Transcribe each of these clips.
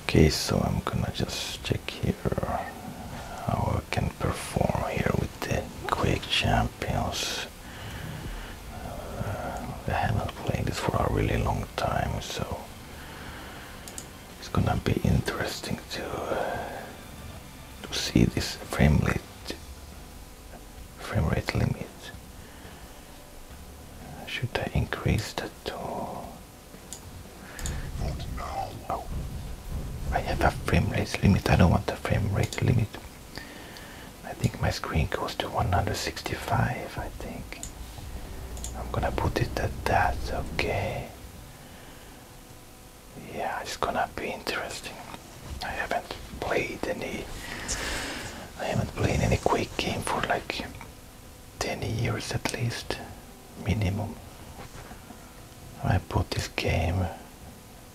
okay so I'm gonna just check here how I can perform here with the Quake Champions uh, I haven't played this for a really long time so it's gonna be interesting to to see this frame rate frame rate limit uh, should I increase that or? Oh, I have a frame rate limit. I don't want the frame rate limit. I think my screen goes to 165. I think I'm gonna put it at that. Okay. Yeah, it's gonna be interesting. I haven't played any. I haven't played any quick game for like 10 years at least, minimum. I bought this game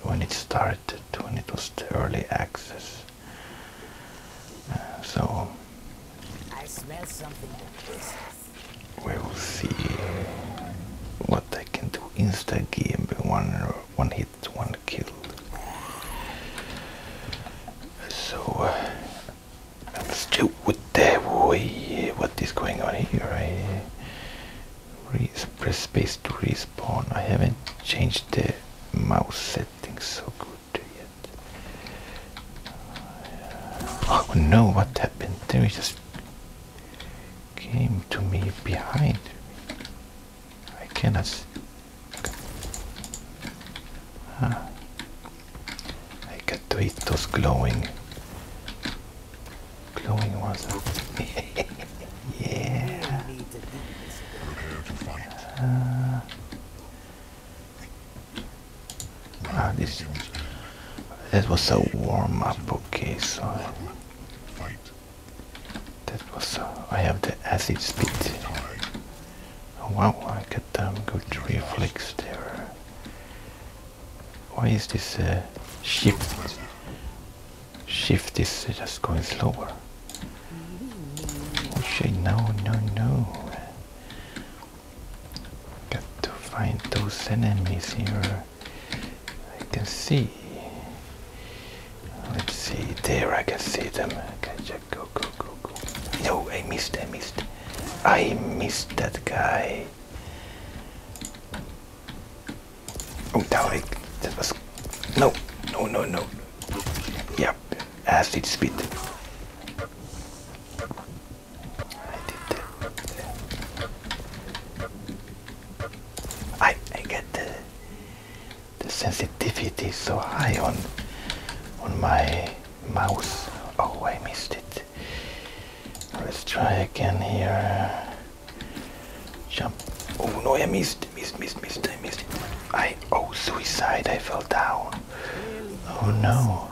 when it started, when it was early access. Uh, so, I smell something we will see what I can do. in this game, one, one hit, one kill. So, Still with the way what is going on here? I press space to respawn. I haven't changed the mouse settings so good yet. Oh no, what happened? They just came to me behind. I cannot. Ah. I got to eat those glowing glowing ones. yeah. Uh, ah, this that was a warm up. Okay, so that was. A, I have the acid spit. Wow, I got damn um, good reflex Why is this ship, uh, shift? Shift uh, just going slower. Oh, no, no, no. Got to find those enemies here. I can see. Let's see, there I can see them. Go, go, go, go. No, I missed. I missed. I missed that guy. Oh, that, I, that was. No, no, no, no. Yep, acid spit. I did that. I, I get the, the sensitivity so high on on my mouse. Oh, I missed it. Let's try again here. Jump. Oh no, I missed, missed, missed, missed, I missed. I, oh, suicide, I fell down. Oh no.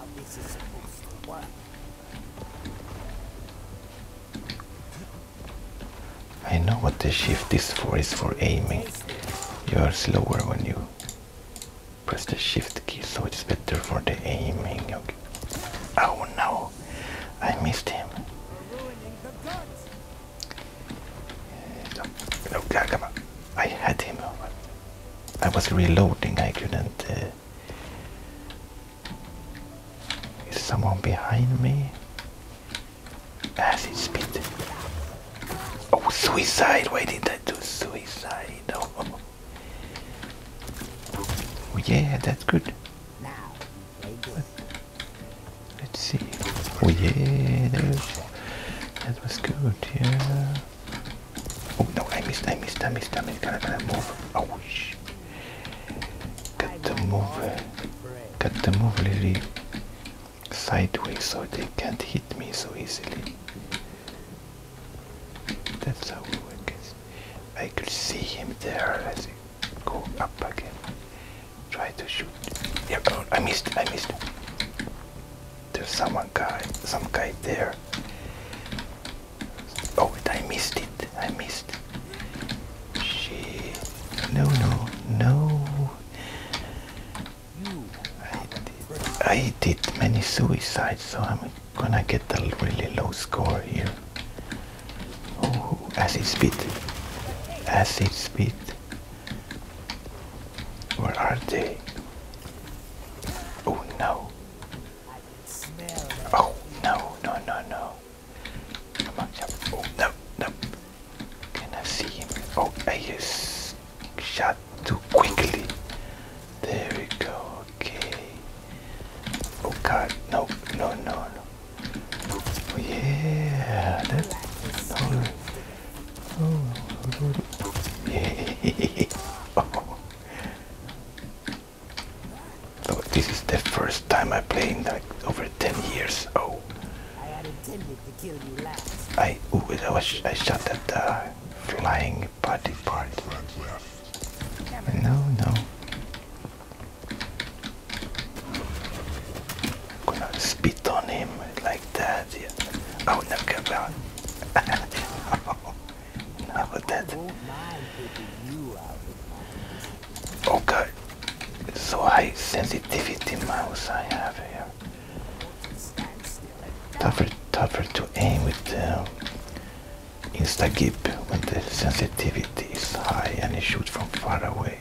I know what the shift is for, is for aiming. You are slower when you Press the shift key so it's better for the aiming. Okay. Oh no! I missed him. No, no, come on. I had him. I was reloading, I couldn't. Uh, is someone behind me? As he spit. Oh, suicide! Why did I do suicide? Oh yeah, that's good. Let's see. Oh yeah, that was good, yeah. Oh no, I missed, I missed, I missed, I missed. Gotta, gotta move. Oh shh. Gotta move. Gotta move a little sideways so they can't hit me so easily. That's how I guess. I could see him there as he go up again. Try to shoot. Yeah, oh, I missed, I missed. There's someone guy, some guy there. Oh, I missed it. I missed. Shit. No, no, no. I did, many suicides, so I'm gonna get a really low score here. Oh, acid spit. Acid spit. Where are they? Oh no. Oh no, no, no, no. Come oh, no, no. Can I see him? Oh, I just shut too quickly. There we go. Okay. Oh God! No! No! No! No! Oh, yeah. That. No. Oh. Yeah. oh. oh. This is the first time I played like over ten years. Oh. I had intended to kill you last. I. Ooh, I, was, I shot that. Uh, flying body part. No, no. i gonna spit on him like that. Yeah. Oh, no, come on. that. Okay. Oh, so high sensitivity mouse I have here tougher tougher to aim with the uh, Instagib when the sensitivity is high and you shoot from far away.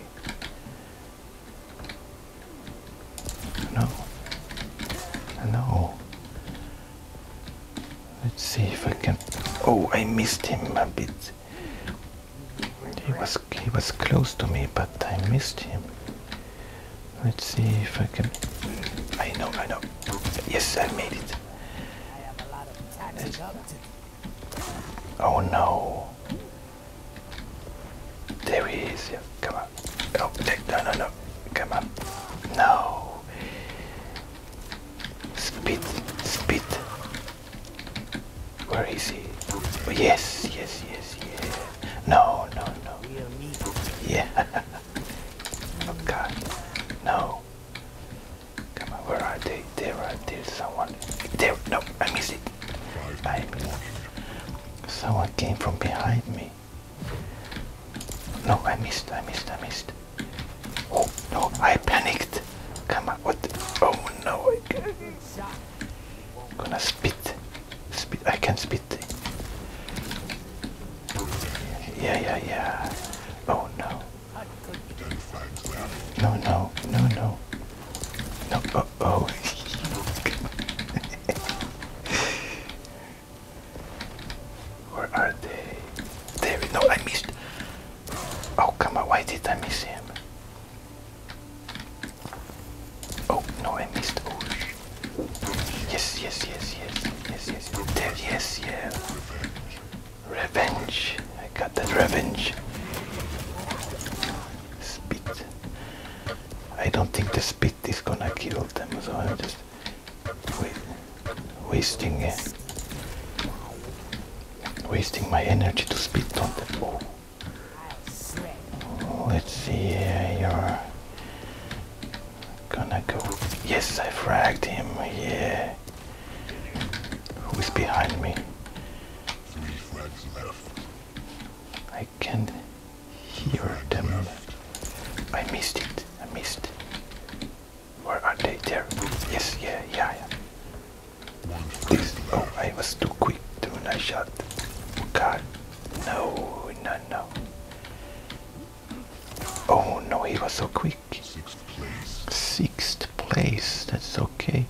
No. No. Let's see if I can Oh, I missed him a bit. He was he was close to me, but I missed him. Let's see if I can. I know, I know. Yes, I made it. Oh no. There he is. Yeah, come on. Oh, no, no, no. Come on. No. Spit. Spit. Where is he? yes, yes, yes, yes. No, no, no. Yeah. Oh god, no. Come on, where are they? There are there someone there no I missed it. I missed it. Someone came from behind me. No, I missed, I missed, I missed. Oh no, I panicked. Come on, what oh no I gonna spit. Spit I can spit yeah, yeah, yeah. Oh no. No, no, no, no. No, oh, oh. Where are they? There, no, I missed. Oh, come on, why did I miss him? Oh, no, I missed. Oh, Yes, yes, yes, yes, yes, yes. There, yes, yeah. Revenge. I got that revenge. Spit. I don't think the spit is gonna kill them, so I'm just wa wasting uh, wasting my energy to spit on them. Oh. Let's see uh, your Gonna go. Yes, I fragged him. Yeah. Who is behind me? Three frags left. I can not hear them. I missed it. I missed. it. Where are they? There. Yes. Yeah. Yeah. yeah. Oh, I was too quick to I shot. God. No. No. No. Oh no, he was so quick. Sixth place. That's okay.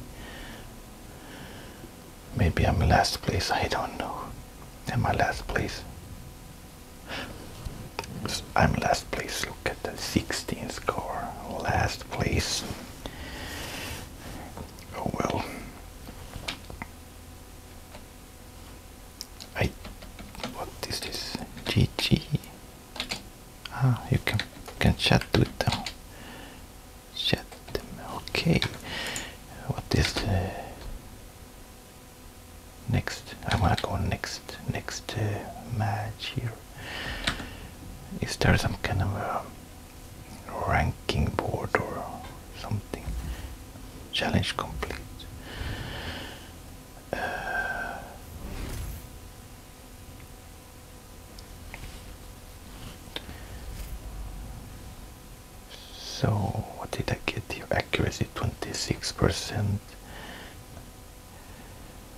Maybe I'm last place. I don't know. Am I last place? I'm last place. Look at that 16th score. Last place. Oh well. I what is this? GG. Ah, you can can chat with them. Chat them. Okay. What is the next? I wanna go next. Next uh, match here. Is there some kind of a ranking board or something? Challenge complete so what did I get here? Accuracy 26%.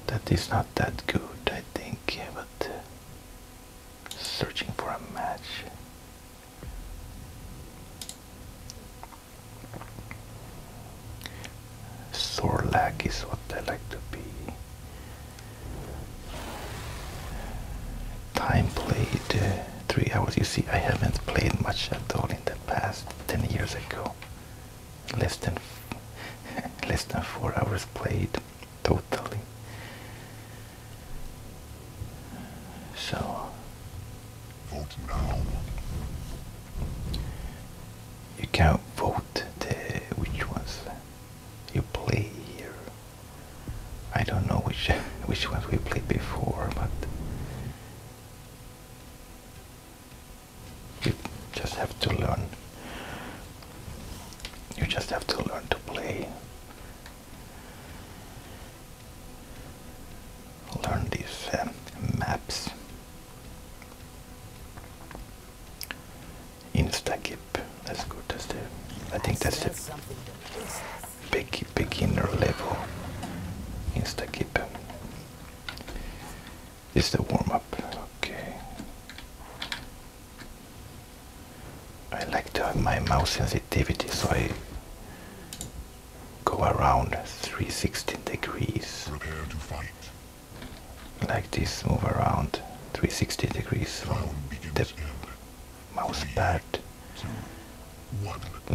That is not that good, I think, but uh, searching for a match. Sorlac is what I like to be. Time played uh, three hours. You see, I haven't played much at all in the past. Ten years ago, less than less than four hours played totally. So you can't vote there. which ones you play here. I don't know which which ones we played before, but you just have to learn. You just have to learn to play. Learn these um, maps. Insta Instagip. That's good. That's the. I think that's the big beginner level. Insta Instagip. It's the warm up. Okay. I like to have my mouse sensitivity, so I go around 360 degrees. Prepare to fight. Like this, move around 360 degrees from the mouse pad,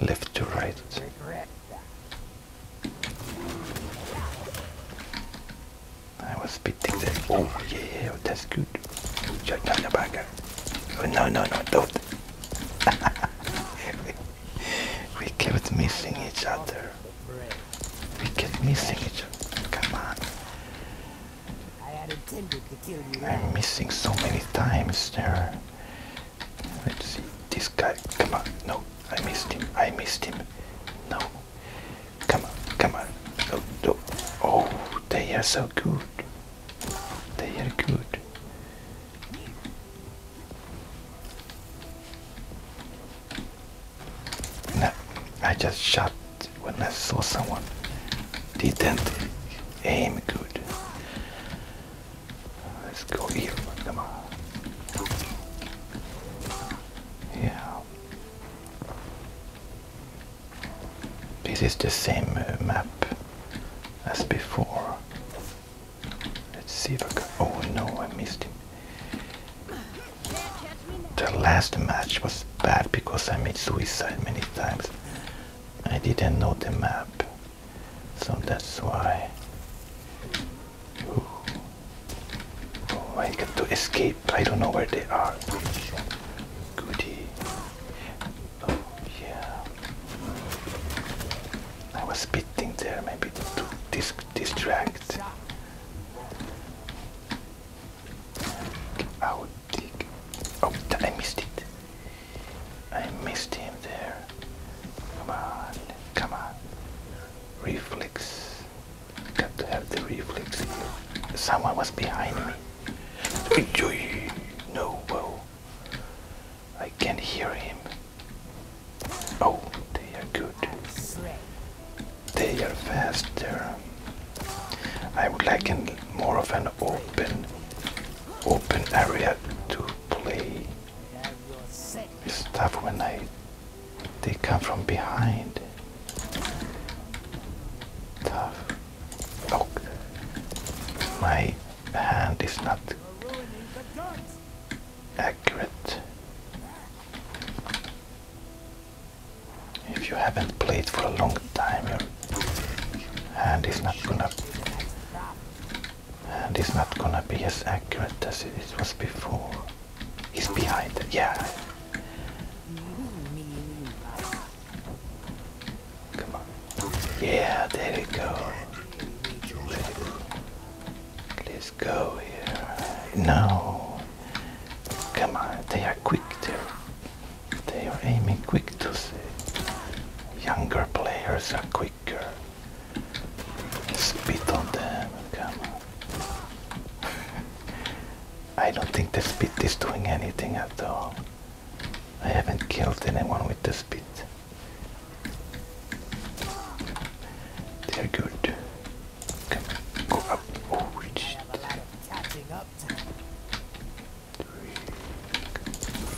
left to right. I was spitting that. Oh yeah, that's good. Oh, no, no, no, don't. we kept missing each other. We kept missing each other. Come on. I had intended to kill you. I'm missing so many times there. Let's see. This guy. Come on. No. I missed him. I missed him. No. Come on. Come on. No, no. Oh, they are so good. They are good. No, I just shot when I saw someone. Didn't aim good. Let's go here. Come on. Yeah. This is the same uh, map as before. Let's see if I can. Oh no, I missed him. The last match was bad because I made suicide many times. I didn't know the map, so that's why. Oh, I got to escape. I don't know where they are. Goody. Oh, yeah. I was spitting there. Maybe two discs distract. Out, dig. Oh, I missed it. I missed him there. Come on, come on. Reflex. Got to have the reflex. Someone was behind me. No, whoa. I can not hear him. Oh, they are good. They are faster. I would like an, more of an open, open area to play. It's tough when I they come from behind. Tough. Oh, my hand is not accurate. If you haven't played for a long time, your hand is not gonna and it's not gonna be as accurate as it was before. He's behind it, yeah. Come on. Yeah, there it goes. Please go here. No. Come on, they are quick there. They are aiming quick to see. Younger players are quicker. Spit on them, come on. I don't think the spit is doing anything at all. I haven't killed anyone with the spit. They're good. Come on, go up. Oh, we just...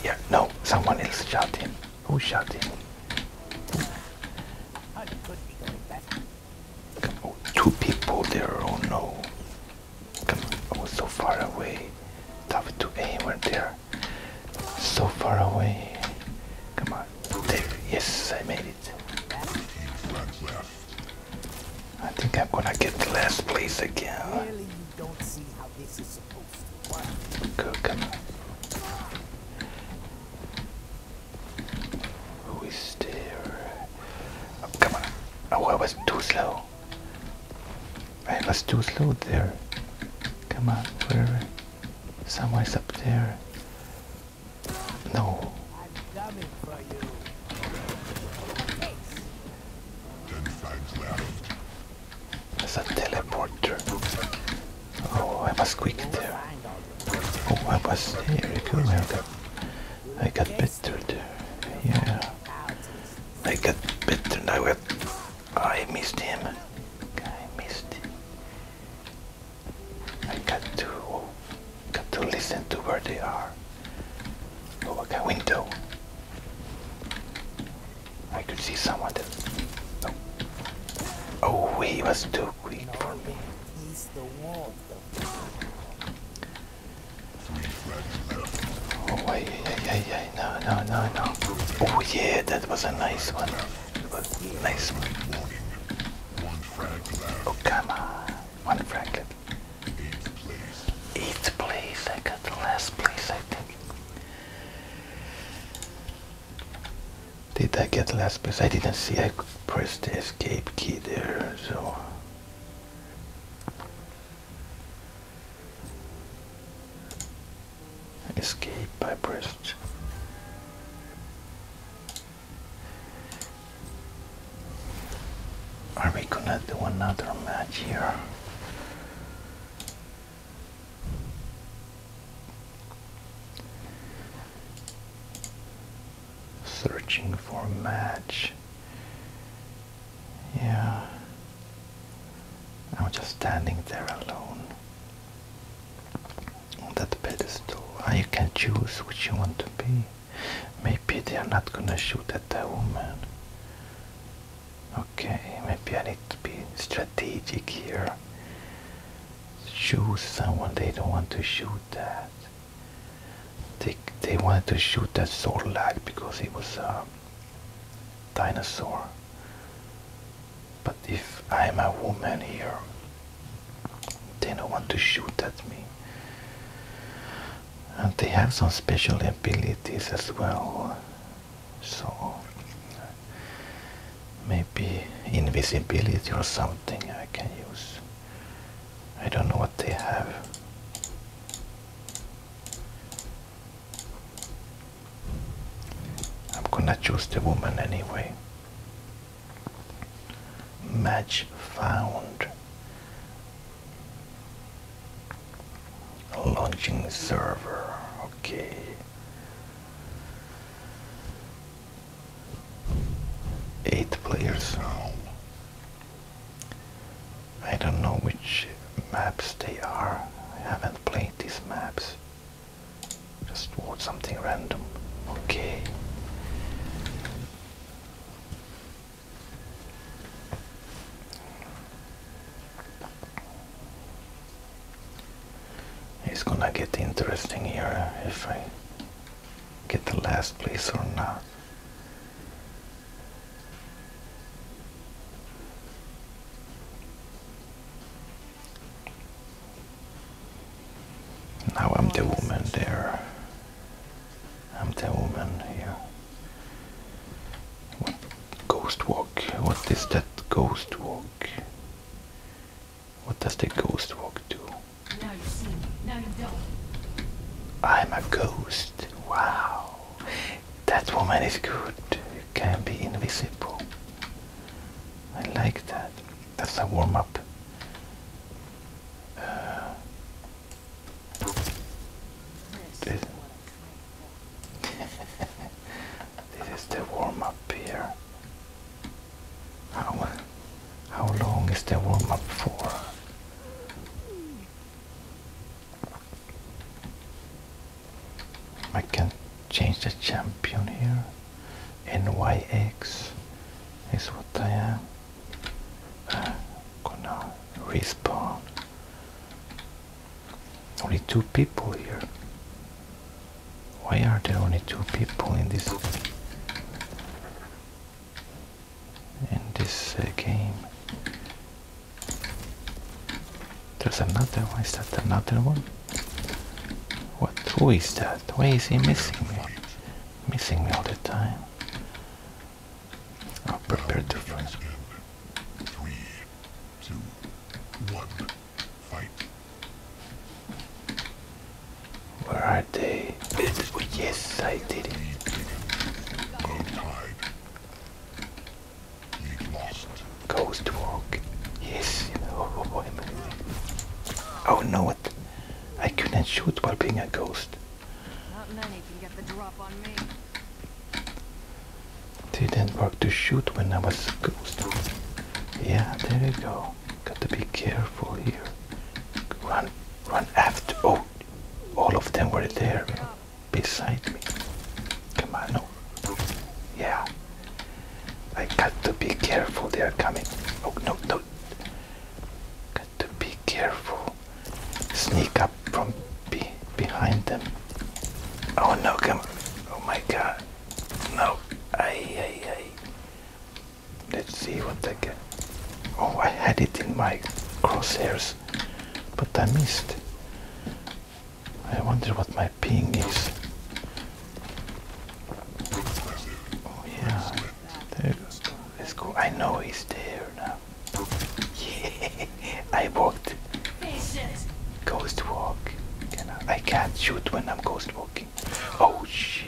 Yeah, no, someone else shot him. Who shot him? Come on, oh, two people there, oh no. Come on, I so far away. Tough to aim right there. So far away. Come on, yes, I made it. I think I'm gonna get the last place again. Go, come on. Who is there? Oh, come on. Oh, I was too slow. I was too slow there. Come on, where? Someone's up there. No. There's a teleporter. Oh, I was quick there. Oh, I was there. Cool. I I got better there. Yeah. I got better now. I, I missed him. I missed him. I got to got to listen to where they are. Go back a window. I could see someone oh, oh, he was too quick for me. Oh, yeah, yeah, yeah, no, no, no, no. Oh, yeah, that was a nice one. Oh, come on. One frag Eat, Eighth place. I got the last place, I think. Did I get the last place? I didn't see. I pressed the escape key there, so escape by pressed are we gonna do another match here searching for a match yeah I'm just standing there alone on that pedestal. Ah, you can choose which you want to be. Maybe they are not gonna shoot at that woman. Okay, maybe I need to be strategic here. Choose someone they don't want to shoot That. They, they wanted to shoot that sword Zorlak because it was a dinosaur. But if I am a woman here, they don't want to shoot at me. And they have some special abilities as well. So maybe invisibility or something I can use. I don't know what they have. I'm gonna choose the woman anyway. Match found. Launching server. Okay. Eight players. I don't know which maps they are. I haven't played these maps. Just want something random. Okay. It's gonna get interesting here if I get the last place or not. Now I'm the woman there. I'm the woman here. What ghost walk? What is that ghost walk? What does the ghost walk do? Now you see Now you don't. I'm a ghost. Wow. That woman is good. You can be invisible. I like that. That's a warm up this, this is the warm up here. How how long is the warm up for? I can change the champion here. NYX is what I am. gonna respawn. Only two people here. Why are there only two people in this in this uh, game? There's another one. Is that another one? What? toy is that? Why is he missing me? Missing me all the time. I'll prepare to fight. Three, two, one, fight. Where are they? Yes, I did it. Ghost walk. Yes. oh, oh, oh no, I couldn't shoot while being a ghost. Not Didn't work to shoot when I was a ghost. Yeah, there you go. Gotta be careful here. Run, run after. Oh, all of them were there beside me. Come on, no. Yeah. I got to be careful, they are coming. Oh, no, no, Got to be careful. Sneak up from be behind them. Oh no, come Oh my god. No. Aye, aye, aye. Let's see what I get. Oh, I had it in my crosshairs, but I missed. I wonder what my ping is. Oh yeah, there. Let's go. I know he's there now. Yeah, I walked. Ghost walk. I, can't shoot when I'm ghost walking. Oh shit.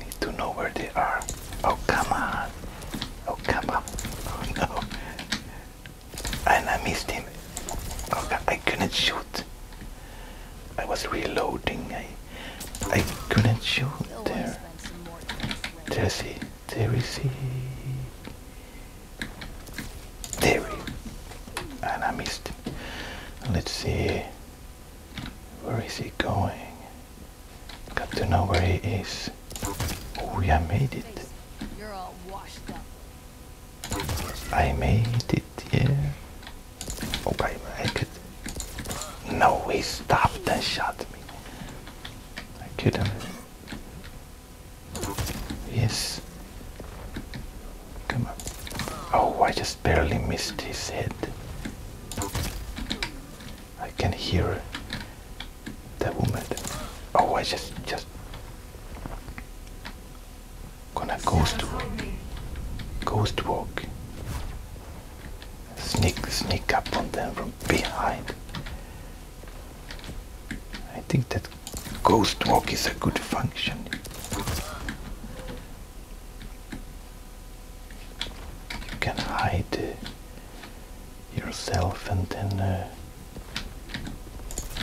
Need to know where they are. Oh come on. Oh come on. Oh no. And I missed him. Oh I couldn't shoot. I was reloading. I I couldn't shoot there. There is he. There is he. There And I missed Let's see. Where is he going? Got to know where he is. Oh, yeah, I made it. You're all washed up. I made it, yeah. Okay, oh, I could. No, he stopped and shot me. I couldn't. Yes. Come on. Oh, I just barely missed his head. I can hear the woman. Oh, I just, just gonna ghost walk. Ghost walk. Sneak, sneak up on them from behind. I think that ghost walk is a good function. You can hide uh, yourself and then. Uh,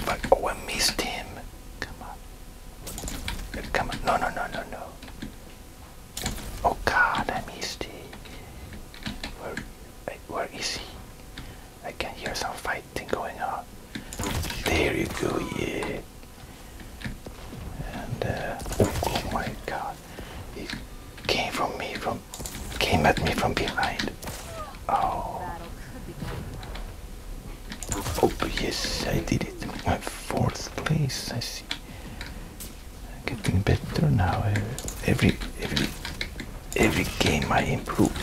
but, oh, I missed him. Come on. Come on. No, no, no, no, no. Oh god, I missed it. Where, where is he? I can hear some fighting going on. There you go, yeah. And, uh, oh my god. He came from me, from, came at me from behind. Oh. Oh, yes, I did it. My fourth place, I see. Getting better now. Eh? Every, every, every game I improve.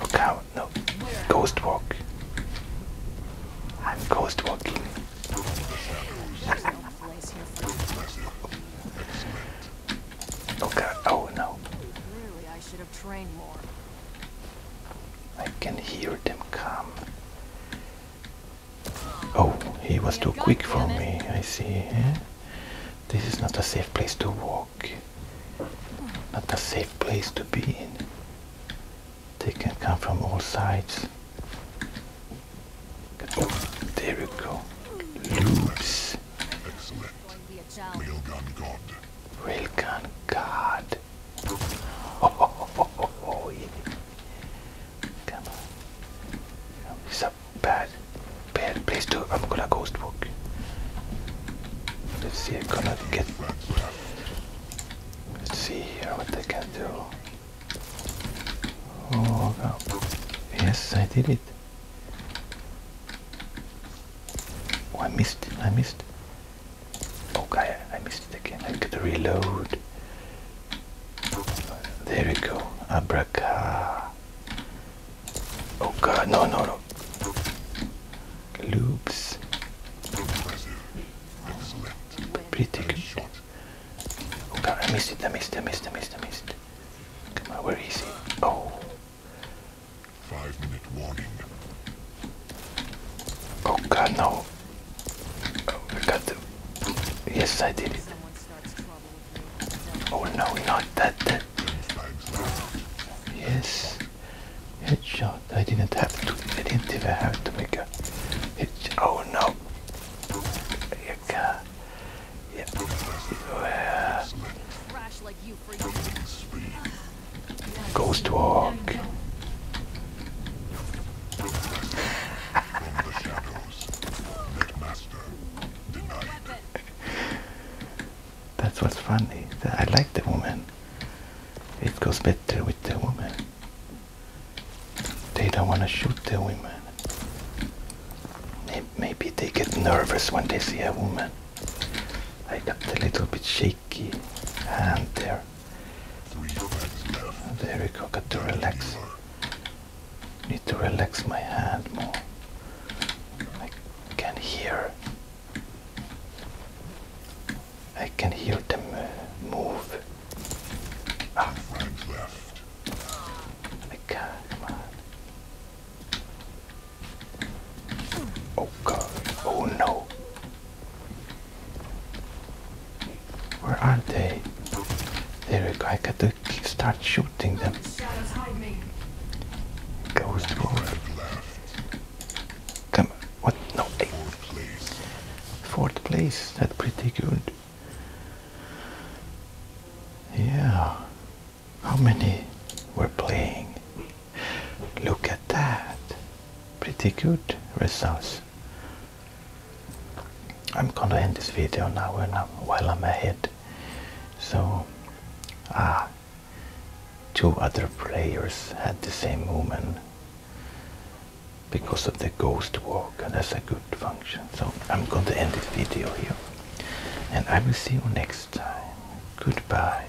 Oh, cow, no. Ghost walk. I'm ghost walking. oh god, oh no train more. I can hear them come. Oh, he was too quick for me, I see. Eh? This is not a safe place to walk. Not a safe place to be in. They can come from all sides. there we go. Loops. Railgun God. Railgun God. Oh, oh, oh, oh, oh yeah. Come on. It's a bad, bad place to. I'm gonna ghost walk. Let's see. I'm gonna get. Let's see here what I can do. Oh God. Yes, I did it. Oh, I missed. I missed. Okay, I missed it again. I've got to reload. There we go. Abraca. Oh god, no, no, no. Loops. Pretty good. Oh god, I missed it, I missed it, I missed it, I missed it, I missed it. Oh. Five minute warning. Oh god, no. Oh, I got to. Yes, I did it. Oh no, not that. that. Yes. Headshot. I didn't have to. I didn't even have to make a headshot. Oh no. Yeah. yeah. Uh, Ghost to That's what's funny. I like the woman. It goes better with the woman. They don't want to shoot the woman. Maybe they get nervous when they see a woman. I got a little bit shaky and there. There we go, got to relax. Need to relax my hand more. I can hear. I can hear them uh, move. Ah. Right left. come on. Oh god. Oh no. Where are they? There we go. I gotta start shooting them. Ghost Wolf. Come on. What? No. Hey. Fourth place. That's pretty good. Yeah. How many were playing? Look at that. Pretty good results. I'm gonna end this video now while I'm ahead. So, ah, two other players had the same movement because of the ghost walk and that's a good function. So I'm going to end this video here and I will see you next time. Goodbye.